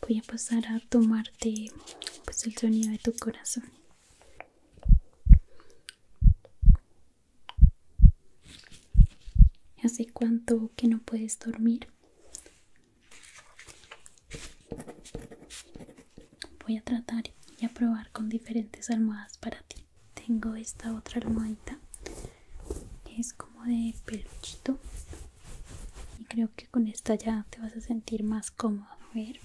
voy a pasar a tomarte pues el sonido de tu corazón hace cuanto que no puedes dormir voy a tratar y a probar con diferentes almohadas para ti tengo esta otra almohadita es como de peluchito y creo que con esta ya te vas a sentir más cómodo a ver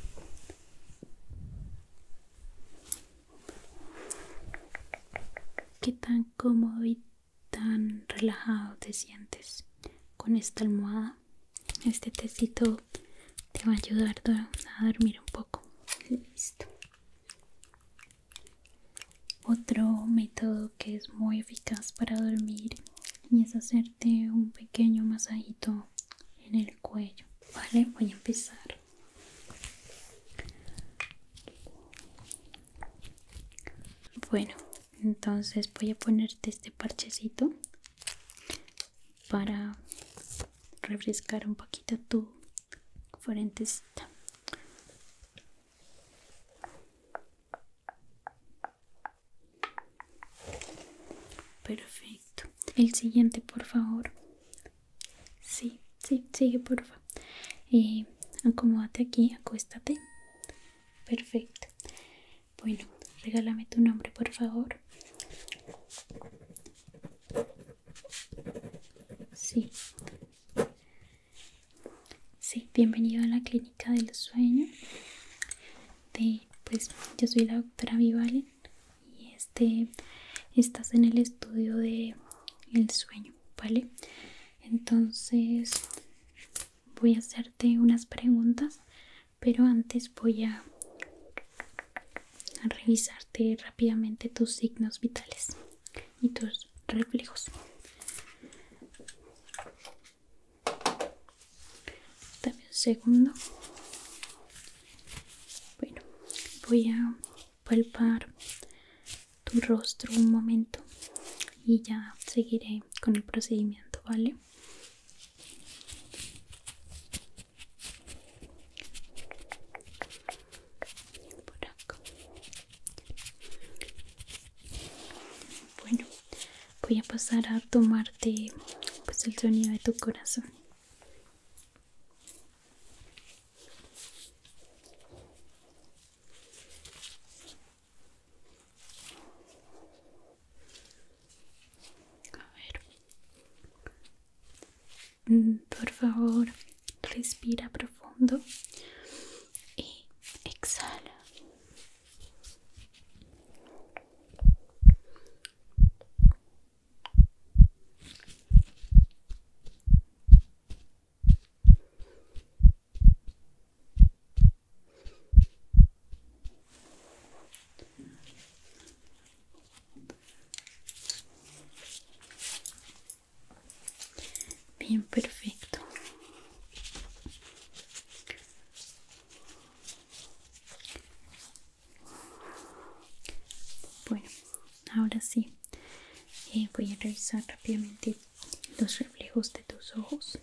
qué tan cómodo y tan relajado te sientes con esta almohada este tecito te va a ayudar a dormir un poco listo otro método que es muy eficaz para dormir y es hacerte un pequeño masajito en el cuello vale voy a empezar bueno entonces voy a ponerte este parchecito para refrescar un poquito tu frentecita Perfecto. El siguiente, por favor. Sí, sí, sigue, porfa. favor, eh, acomódate aquí, acuéstate. Perfecto. Bueno, regálame tu nombre, por favor. Sí. Sí, bienvenido a la clínica del sueño pues yo soy la doctora Vivalen y este estás en el estudio de el sueño, ¿vale? Entonces voy a hacerte unas preguntas, pero antes voy a revisarte rápidamente tus signos vitales y tus reflejos dame un segundo bueno voy a palpar tu rostro un momento y ya seguiré con el procedimiento vale bueno voy a pasar a tomarte pues el sonido de tu corazón a ver mm, por favor respira profundo y exhala Bien, perfecto. Bueno, ahora sí, eh, voy a revisar rápidamente los reflejos de tus ojos.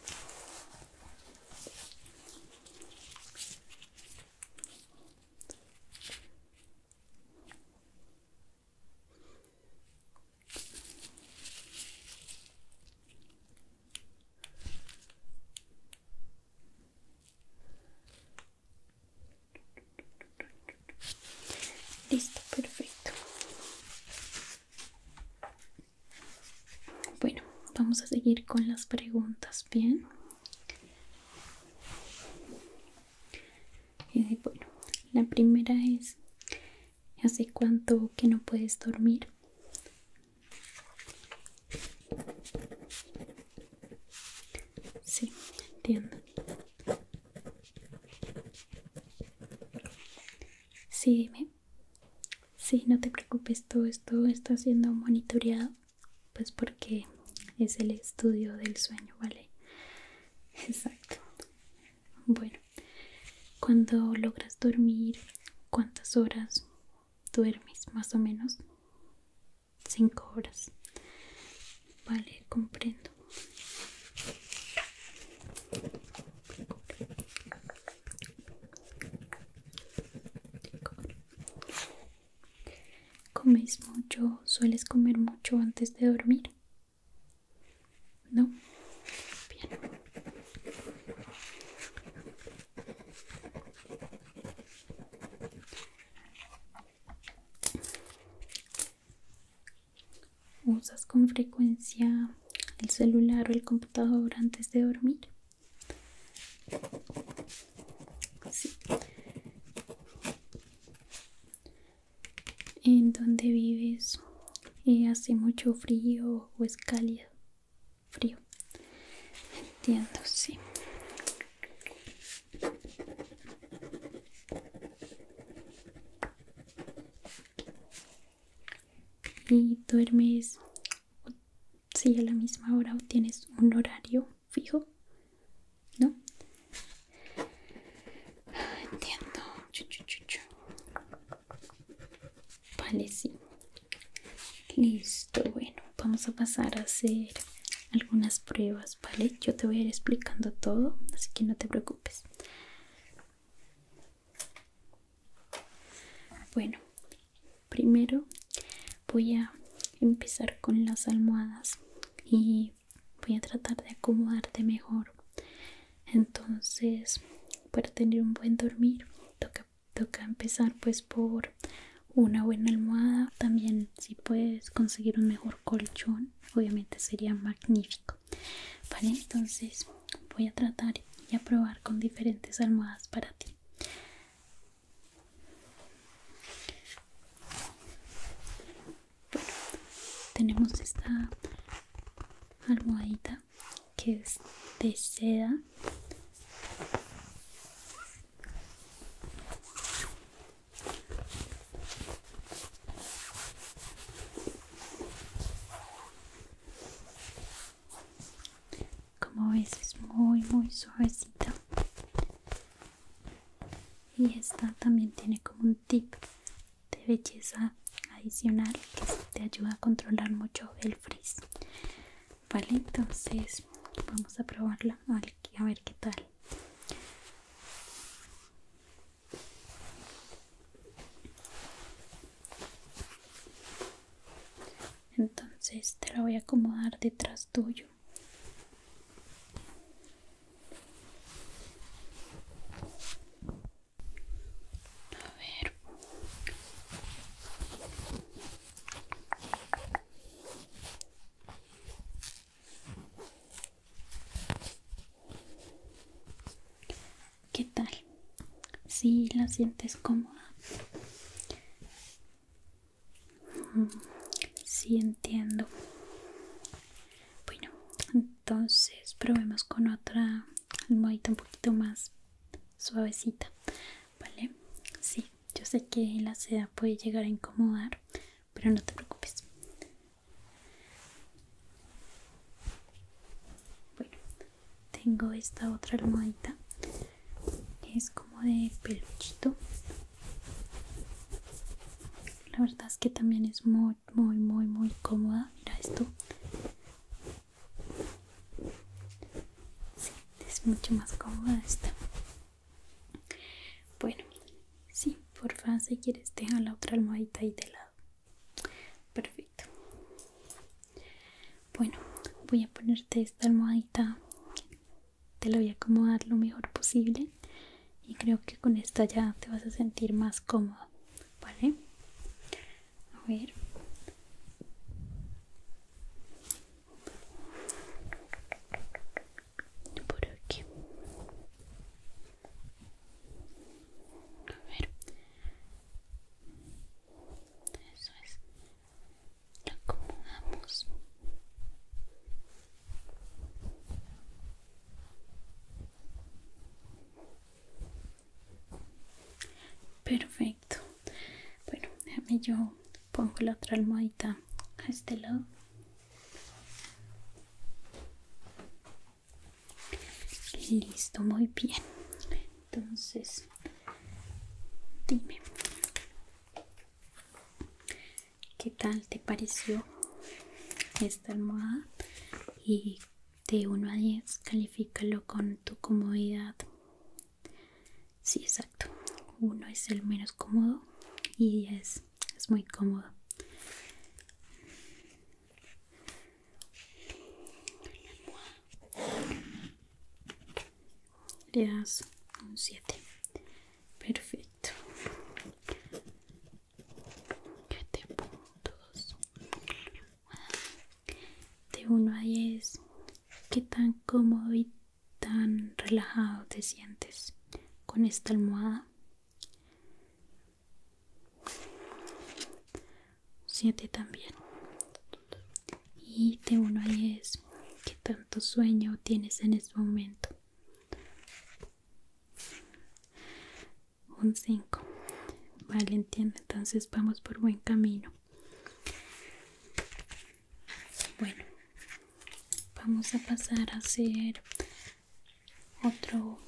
Listo, perfecto. Bueno, vamos a seguir con las preguntas, ¿bien? Eh, bueno, la primera es, ¿hace cuánto que no puedes dormir? Sí, entiendo. Sí, dime. Sí, no te preocupes, todo esto está siendo monitoreado, pues porque es el estudio del sueño, ¿vale? Exacto. Bueno, cuando logras dormir, ¿cuántas horas? duermes más o menos cinco horas vale comprendo comes mucho sueles comer mucho antes de dormir no bien ¿Usas con frecuencia el celular o el computador antes de dormir? Sí. ¿En dónde vives? ¿Hace mucho frío o es cálido? frío entiendo sí y duermes si a la misma hora o tienes un horario fijo no ah, entiendo vale sí Listo, bueno, vamos a pasar a hacer algunas pruebas, ¿vale? Yo te voy a ir explicando todo, así que no te preocupes. Bueno, primero voy a empezar con las almohadas y voy a tratar de acomodarte mejor. Entonces, para tener un buen dormir, toca toca empezar pues por una buena almohada también si puedes conseguir un mejor colchón obviamente sería magnífico vale entonces voy a tratar y a probar con diferentes almohadas para ti bueno tenemos esta almohadita que es de seda como ves es muy muy suavecita y esta también tiene como un tip de belleza adicional que te ayuda a controlar mucho el frizz Vale, entonces vamos a probarla aquí a ver qué tal. Entonces te la voy a acomodar detrás tuyo. A ver. ¿Qué tal? Si ¿Sí la sientes cómoda. Mm, sí, entiendo. Bueno, entonces probemos con otra almohadita un poquito más suavecita, ¿vale? Sí, yo sé que la seda puede llegar a incomodar, pero no te preocupes. Bueno, tengo esta otra almohadita que es como de peluchito. La verdad es que también es muy, muy, muy, muy cómoda. Mira esto es mucho más cómoda esta bueno sí favor si quieres deja la otra almohadita ahí de lado perfecto bueno voy a ponerte esta almohadita te la voy a acomodar lo mejor posible y creo que con esta ya te vas a sentir más cómodo vale a ver por aquí a ver eso es lo acomodamos perfecto bueno déjame yo pongo la otra almohadita a este lado listo muy bien entonces dime qué tal te pareció esta almohada y de 1 a 10 califícalo con tu comodidad Sí, exacto. Uno es el menos cómodo y 10 es muy cómodo. Le das un 7. Perfecto. Siete puntos. De 1 a 10 qué tan cómodo y tan relajado te sientes con esta almohada. Siente también. Y de uno a es qué tanto sueño tienes en este momento. Un 5. Vale, entiendo. Entonces vamos por buen camino. Bueno, vamos a pasar a hacer otro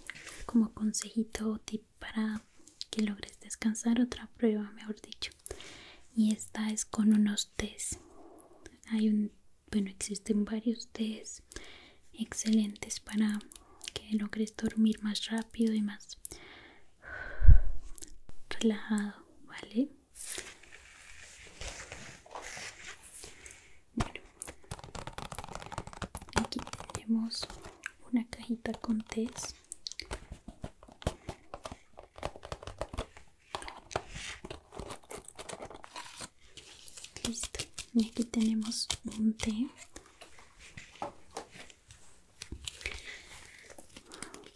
como consejito tip para que logres descansar, otra prueba mejor dicho. Y esta es con unos test. Hay un, bueno, existen varios test excelentes para que logres dormir más rápido y más relajado, ¿vale? aquí tenemos una cajita con tés Listo, y aquí tenemos un té.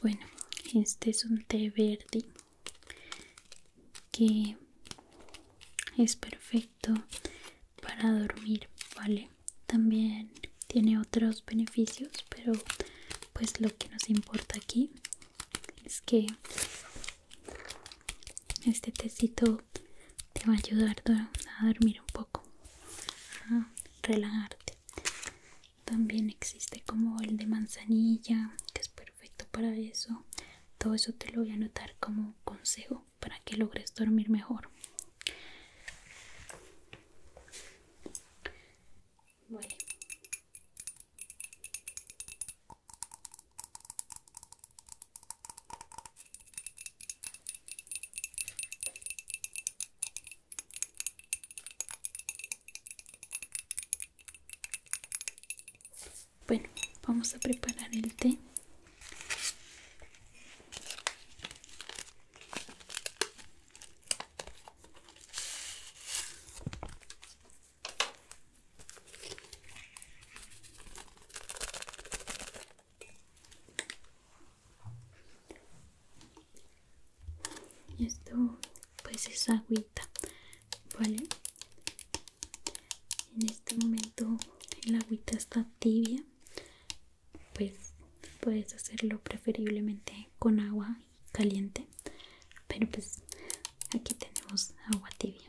Bueno, este es un té verde que es perfecto para dormir vale también tiene otros beneficios pero pues lo que nos importa aquí es que este tecito te va a ayudar a dormir un poco a relajarte también existe como el de manzanilla, que es perfecto para eso. Todo eso te lo voy a anotar como consejo para que logres dormir mejor. Bueno, vamos a preparar el té y esto pues es agüita vale en este momento el agüita está tibia pues puedes hacerlo preferiblemente con agua caliente pero pues aquí tenemos agua tibia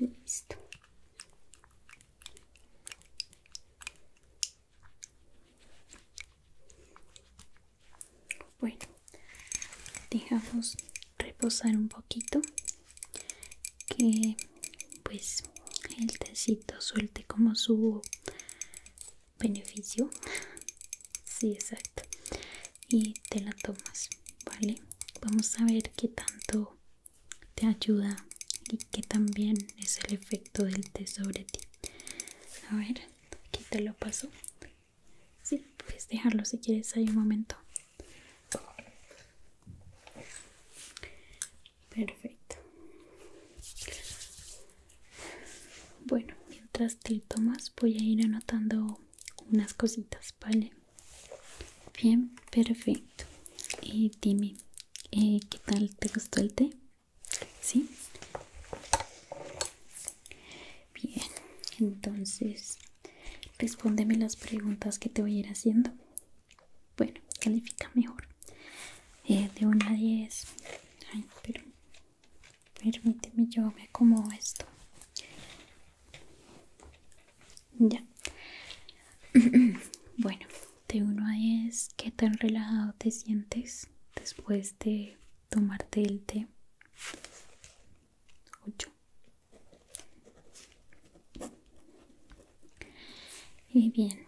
Listo. Bueno, dejamos reposar un poquito que pues el tecito suelte como su beneficio sí exacto y te la tomas vale vamos a ver qué tanto te ayuda y que también es el efecto del té sobre ti a ver aquí te lo paso si, puedes dejarlo si quieres hay un momento perfecto bueno, mientras te tomas voy a ir anotando unas cositas, ¿vale? Bien, perfecto. Y eh, dime, eh, ¿qué tal te gustó el té? ¿Sí? Bien, entonces respóndeme las preguntas que te voy a ir haciendo. Bueno, califica mejor. Eh, de una a 10. Ay, pero permíteme yo me acomodo esto ya bueno de uno a 10 qué tan relajado te sientes después de tomarte el té ocho y bien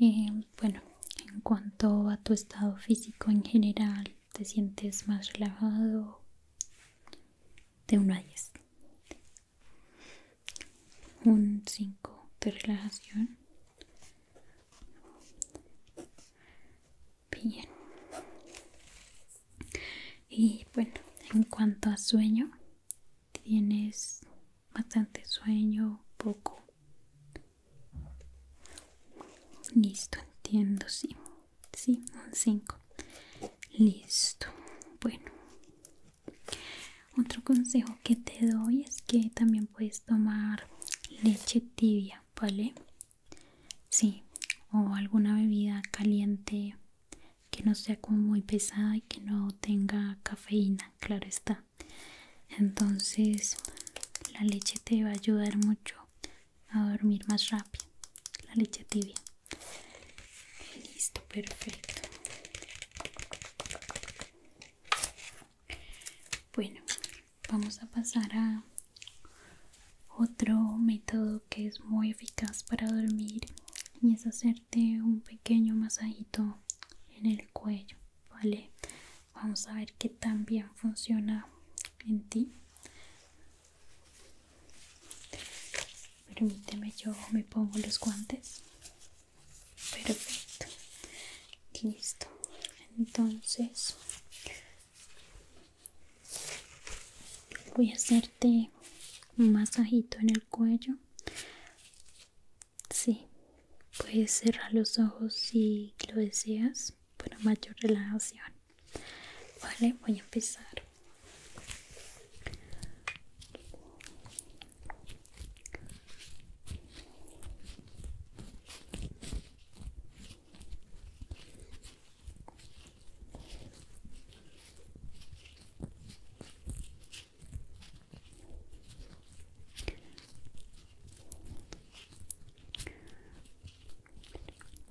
eh, bueno en cuanto a tu estado físico en general te sientes más relajado de 1 a 10 un 5 de relajación bien y bueno en cuanto a sueño tienes bastante sueño poco Listo, entiendo, sí. Sí, un 5. Listo. Bueno. Otro consejo que te doy es que también puedes tomar leche tibia, ¿vale? Sí, o alguna bebida caliente que no sea como muy pesada y que no tenga cafeína, claro está. Entonces, la leche te va a ayudar mucho a dormir más rápido la leche tibia listo perfecto bueno vamos a pasar a otro método que es muy eficaz para dormir y es hacerte un pequeño masajito en el cuello vale vamos a ver qué tan bien funciona en ti Permíteme, yo me pongo los guantes. Perfecto. Listo. Entonces, voy a hacerte un masajito en el cuello. Sí, puedes cerrar los ojos si lo deseas para mayor relajación vale voy a empezar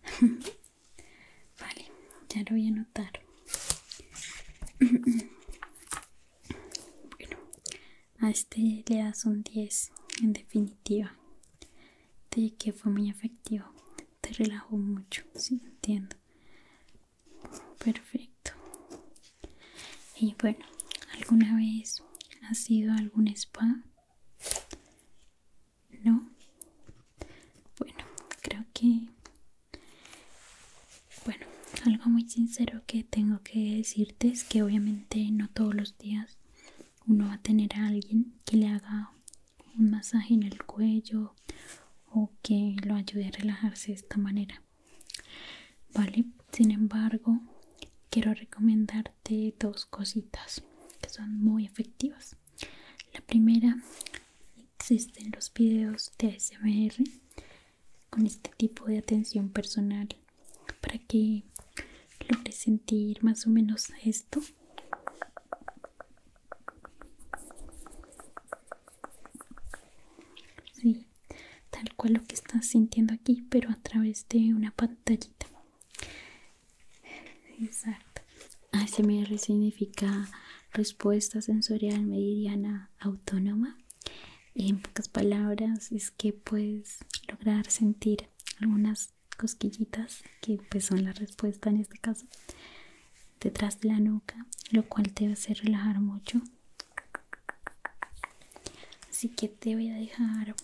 vale, ya lo voy a anotar. bueno, a este le das un 10 en definitiva. De que fue muy efectivo. Te relajó mucho, si? entiendo. Perfecto. Y bueno, ¿alguna vez ha sido a algún spa? ¿No? Bueno, creo que... Bueno, algo muy sincero que tengo que decirte es que obviamente no todos los días uno va a tener a alguien que le haga un masaje en el cuello o que lo ayude a relajarse de esta manera. Vale, sin embargo, quiero recomendar de dos cositas que son muy efectivas. La primera, existen los videos de ASMR con este tipo de atención personal para que logres sentir más o menos esto. tal cual lo que estás sintiendo aquí, pero a través de una pantallita. Exacto. ASMR significa respuesta sensorial meridiana autónoma. en pocas palabras es que puedes lograr sentir algunas cosquillitas que pues son la respuesta en este caso detrás de la nuca, lo cual te hace relajar mucho. Así que te voy a dejar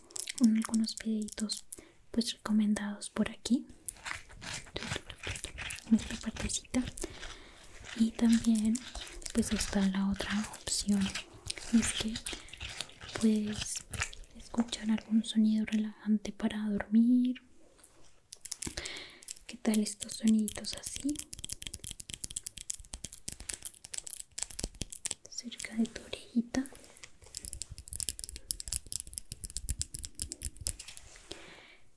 algunos peditos pues recomendados por aquí nuestra partecita y también pues está la otra opción es que puedes escuchar algún sonido relajante para dormir qué tal estos sonidos así cerca de tu orejita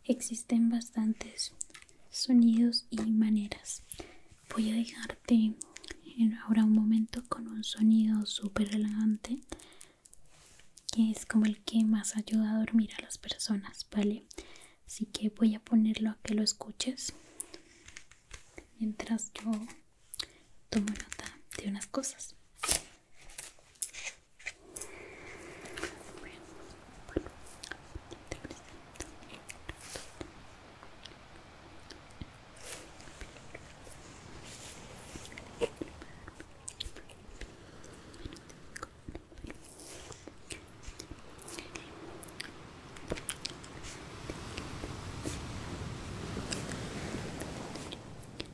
Existen bastantes sonidos y maneras. Voy a dejarte ahora un momento con un sonido súper elegante que es como el que más ayuda a dormir a las personas, ¿vale? Así que voy a ponerlo a que lo escuches mientras yo Toma nota de unas cosas.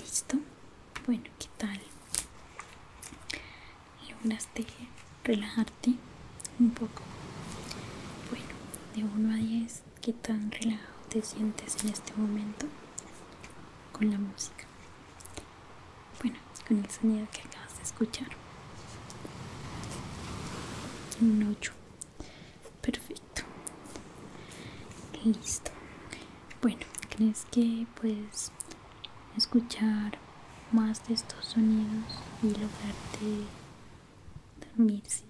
Listo. Bueno, ¿qué tal? ¿Lograste relajarte un poco? Bueno, de 1 a 10, ¿qué tan relajado te sientes en este momento con la música? Bueno, con el sonido que acabas de escuchar. Un 8. Perfecto. Listo. Bueno, ¿crees que puedes escuchar más de estos sonidos y lograrte dormir? Sí.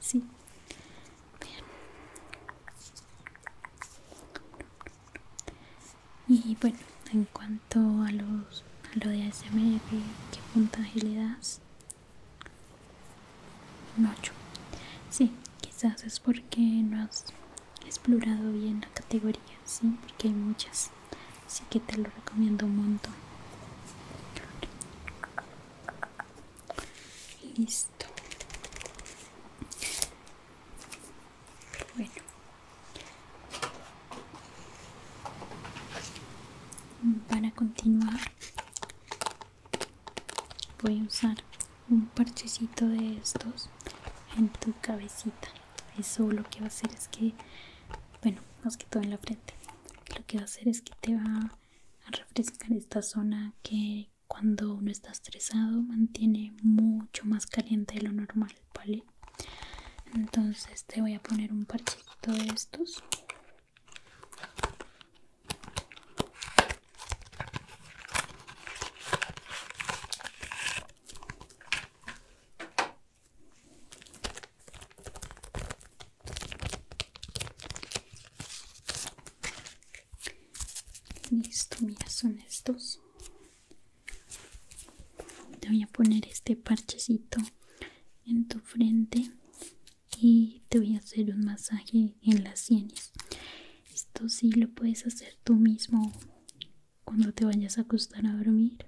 sí. Bien. Y bueno, en cuanto todo a los a lo de ASMR, ¿qué puntaje le das? Un Sí, quizás es porque no has explorado bien la categoría, ¿sí? Porque hay muchas. Así que te lo recomiendo un montón. Listo. Bueno, para continuar voy a usar un parchecito de estos en tu cabecita. Eso lo que va a hacer es que, bueno, más que todo en la frente, lo que va a hacer es que te va a refrescar esta zona que cuando uno está estresado mantiene mucho más caliente de lo normal. ¿vale? Entonces te voy a poner un parchecito de estos. Listo, mira, son estos. Te voy a poner este parchecito en tu frente y te voy a hacer un masaje en las sienes. Esto sí lo puedes hacer tú mismo cuando te vayas a acostar a dormir.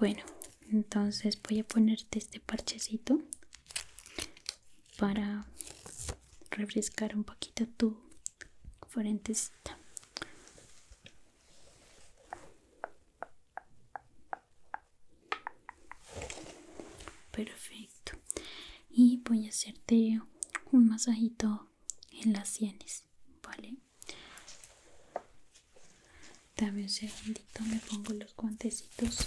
Bueno, entonces voy a ponerte este parchecito para refrescar un poquito tu frentecita. Perfecto. Y voy a hacerte un masajito en las sienes, ¿vale? Dame un segundito, me pongo los guantecitos.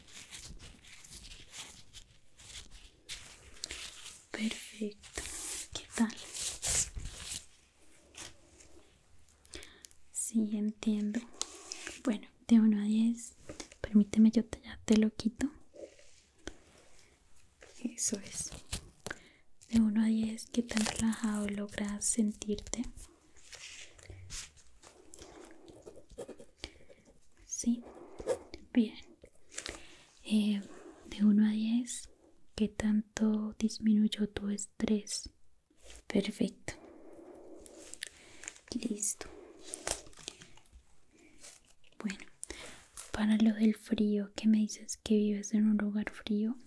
Perfecto, ¿qué tal? Sí, entiendo. Bueno, de 1 a 10, permíteme, yo te, ya te lo quito. Eso es. De 1 a 10, ¿qué tan relajado logras sentirte? Sí, bien. Eh, de 1 a 10, ¿qué tanto disminuyó tu estrés? Perfecto. Listo. Bueno, para lo del frío, que me dices que vives en un lugar frío,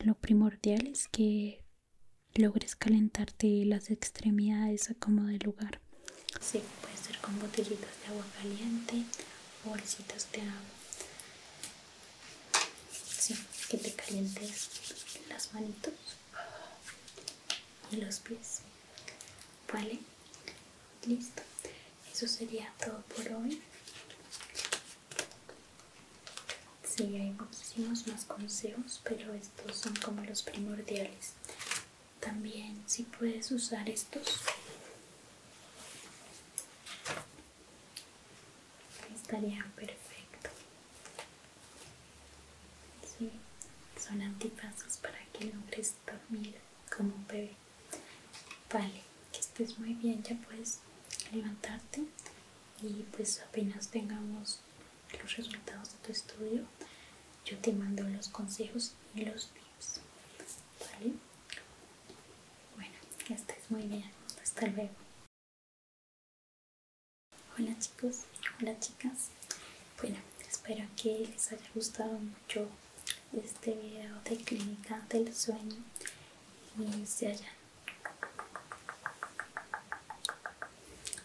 lo primordial es que logres calentarte las extremidades a como lugar. Sí, puede ser con botellitas de agua caliente, bolsitas de agua. Sí, que te calientes las manitos y los pies. Vale, listo. Eso sería todo por hoy. Sí, hay muchísimos más consejos, pero estos son como los primordiales también si puedes usar estos estaría perfecto son antipasos para que logres dormir como un bebé vale que estés muy bien ya puedes levantarte y pues apenas tengamos los resultados de tu estudio, yo te mando los consejos y los tips. ¿Vale? Bueno, ya es muy bien. Hasta luego. Hola chicos, hola chicas. Bueno, espero que les haya gustado mucho este video de clínica del sueño y se allá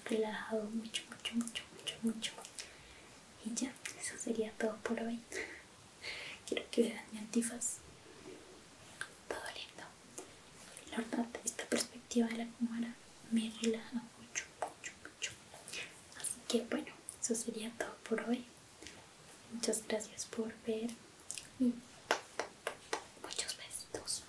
relajado mucho, mucho, mucho, mucho, mucho. Y ya, eso sería todo por hoy. Quiero que vean mi antifaz. Todo lindo. La verdad, esta perspectiva de la cámara me relaja mucho, mucho, mucho. Así que bueno, eso sería todo por hoy. Muchas gracias por ver y muchos besitos.